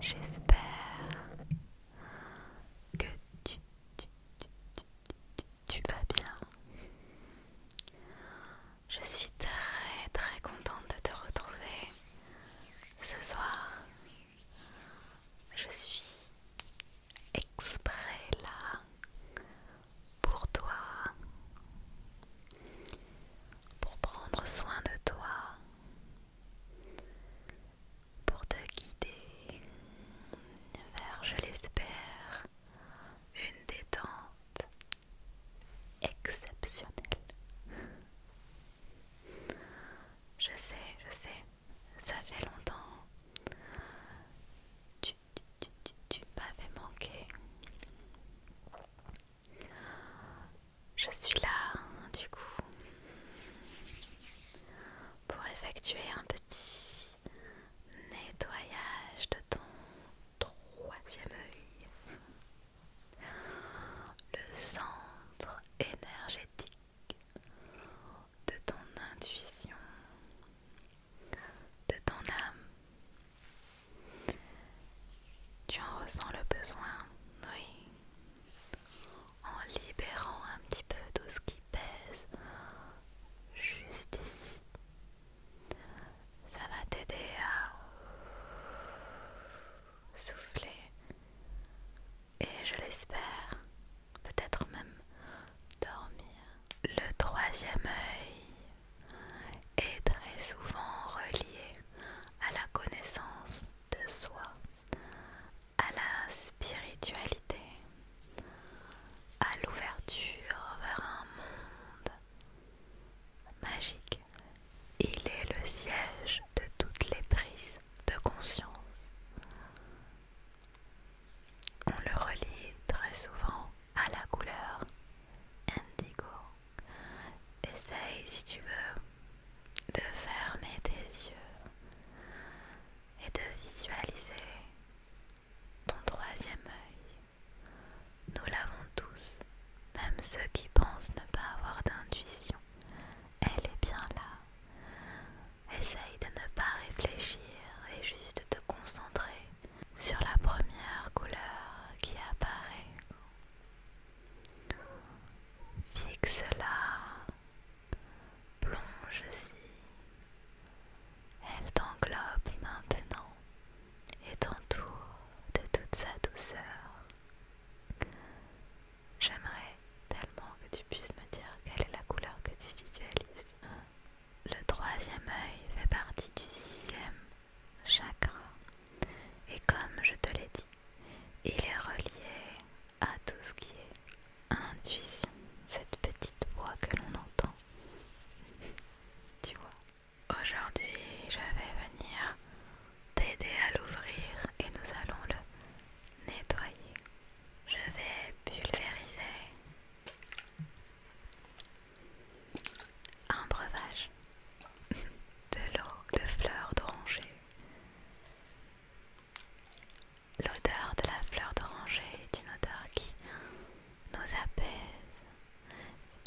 J'espère que tu, tu vas bien. Je suis très très contente de te retrouver ce soir. Je suis exprès là pour toi, pour prendre soin de toi, pour te guider vers, je l'espère, une détente exceptionnelle. Je sais, je sais, ça fait longtemps tu, m'avais manqué. Je suis là, du coup, pour effectuer un petit nettoyage de ton troisième œil, le centre énergétique de ton intuition de ton âme. Tu en ressens le besoin, oui, en libérant un petit peu tout ce qui pèse juste ici. Ça va t'aider à souffler et je l'espère, peut-être même dormir. Le troisième œil est très souvent relié à la connaissance de soi, à la spiritualité, à l'ouverture vers un monde magique. Il est le siège de toutes les prises de conscience. On le relie très souvent à la couleur indigo. Essaye si tu veux de fermer tes yeux et de visualiser ton troisième œil. Nous l'avons tous, même ceux qui pensent ne pas avoir d'intuition. Elle est bien là. Essaye de ne pas réfléchir et juste de te concentrer sur la première couleur qui apparaît. Fixe-la, plonge-y. Elle t'englobe maintenant et t'entoure de toute sa douceur. J'aimerais tellement que tu puisses me dire quelle est la couleur que tu visualises. Le troisième œil fait partie du sixième chakra et comme je te l'ai dit, il est relié à tout ce qui est intuition, cette petite voix que l'on entend. tu vois. Aujourd'hui, je vais venir t'aider à l'ouvrir et nous allons le nettoyer. Je vais pulvériser un breuvage de l'eau de fleurs d'oranger. L'odeur de la fleur d'oranger est une odeur qui nous apaise,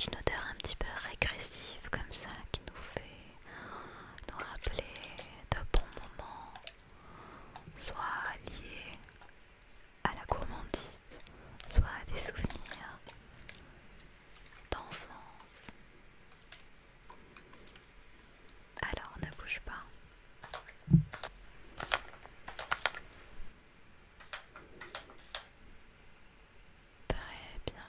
une odeur un petit peu régressive comme ça qui nous fait nous rappeler de bons moments, soit liés à la gourmandise, soit des souvenirs d'enfance. Alors ne bouge pas. Très bien.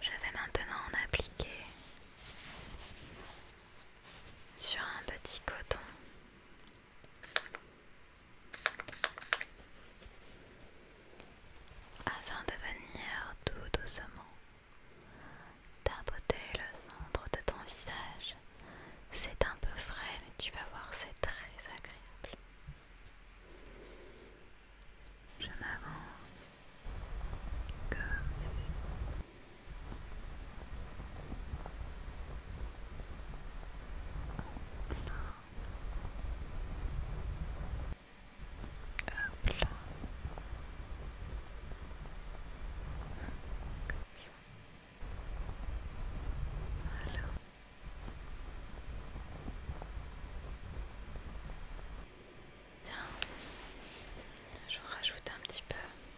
Je vais maintenant en appliquer sur un petit coton afin de venir tout doucement, tapoter le centre de ton visage. C'est un peu frais, mais tu vas voir, c'est très agréable. Je m'avance comme Hop là. Voilà. Bien. Je rajoute un petit peu.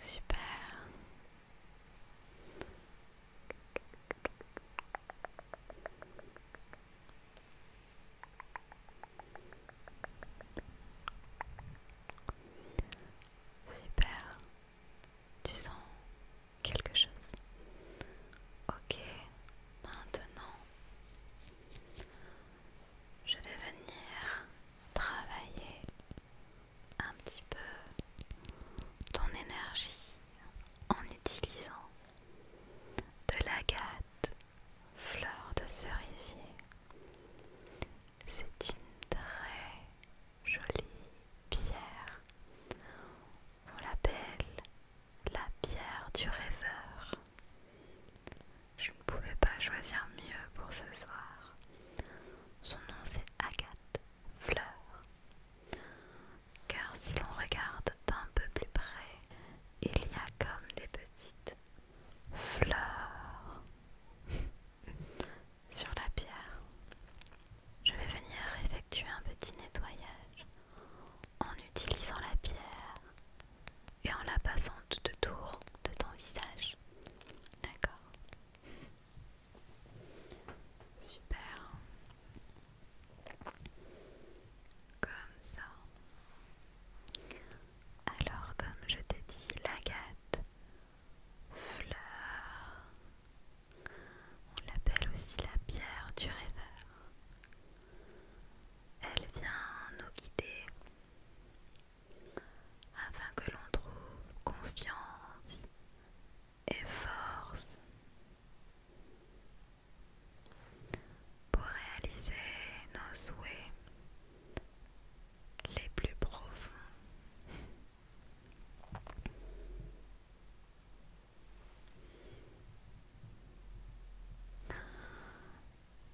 Super. Super. Tu sens quelque chose. Ok. Maintenant, je vais venir travailler un petit peu ton énergie en utilisant de l'agate fleur de cerisier. C'est une très jolie pierre. On l'appelle la pierre du rêveur. Je ne pouvais pas choisir mieux pour ce soir. Son nom c'est Agathe Fleur. Car si l'on regarde d'un peu plus près, il y a comme des petites fleurs sur la pierre. Je vais venir effectuer un petit nettoyage en utilisant la pierre et en la passant tout autour de ton visage. D'accord Super. Comme ça. Alors comme je t'ai dit, l'agate, fleur, on l'appelle aussi la pierre du rêveur. Elle vient nous guider afin que l'on trouve confiance et force pour réaliser nos souhaits les plus profonds.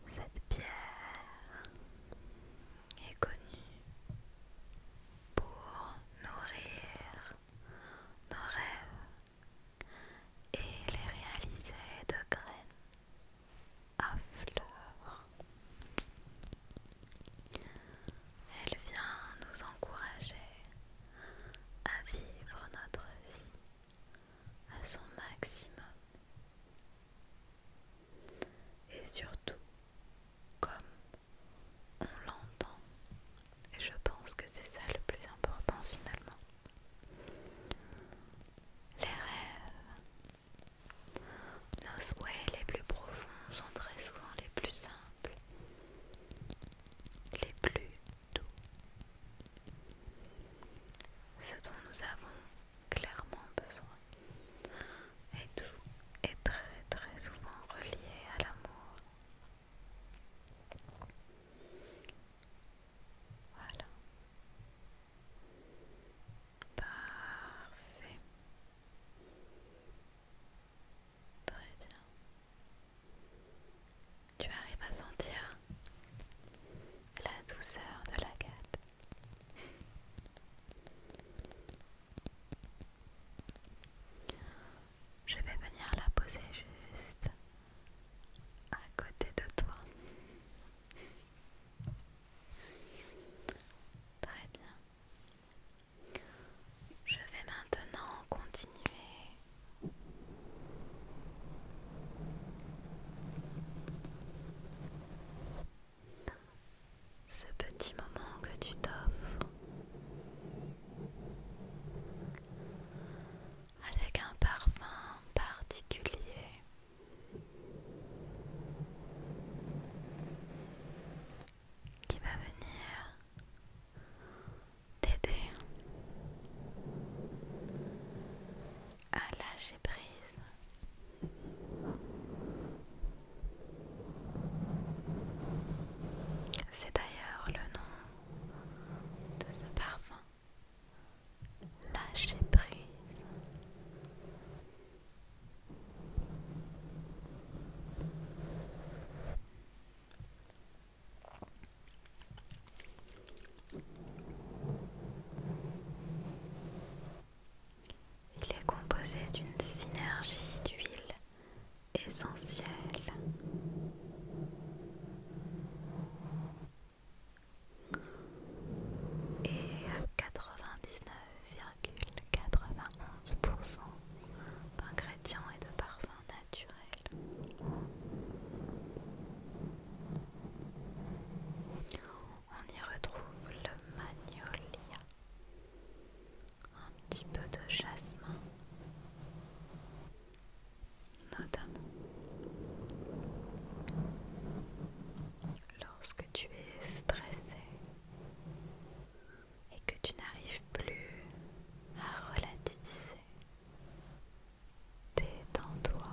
Cette pierre est connue pour nourrir nos rêves et les réaliser de graines à fleurs. Elle vient nous encourager à vivre notre vie à son maximum et surtout, comme on l'entend, et je pense que c'est ça le plus important finalement. Les rêves, nos souhaits les plus profonds sont très souvent les plus simples, les plus doux, ce dont nous avons clairement besoin. Et tout est très très souvent relié à l'amour. Voilà. Parfait. Très bien. Tu arrives à sentir la douceur de la gade Je vais venir la poser juste à côté de toi. Très bien. Je vais maintenant continuer ce petit moment que tu t'offres avec un parfum particulier. Qui va venir t'aider à lâcher prise. C'est d'ailleurs le nom de ce parfum. Lâcher prise. Il est composé d'une synergie d'huiles essentielles. Et à 99,91% d'ingrédients et de parfums naturels on y retrouve le magnolia, un petit peu de jasmin, notamment lorsque tu es stressé et que tu n'arrives plus à relativiser Détends-toi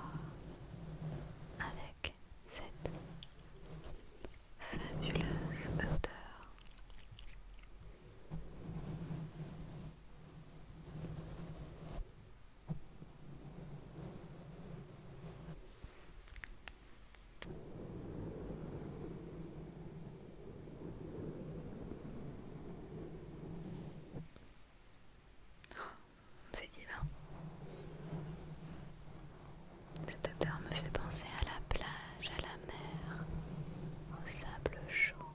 avec cette fabuleuse odeur c'est divin. Cette odeur me fait penser à la plage, à la mer, au sable chaud.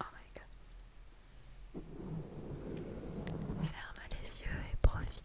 Oh my god. Ferme les yeux et profite.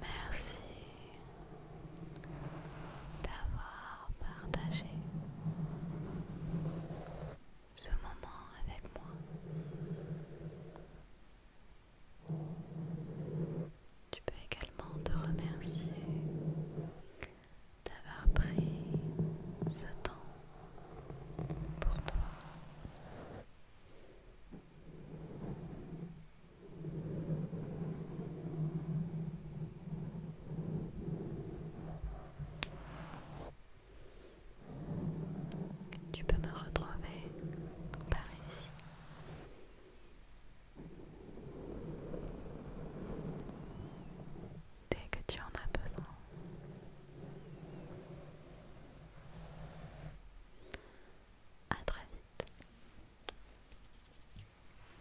Merci d'avoir partagé ce moment avec moi. Tu peux également te remercier d'avoir pris ce temps pour toi. Tu peux me retrouver par ici. Dès que tu en as besoin. À très vite.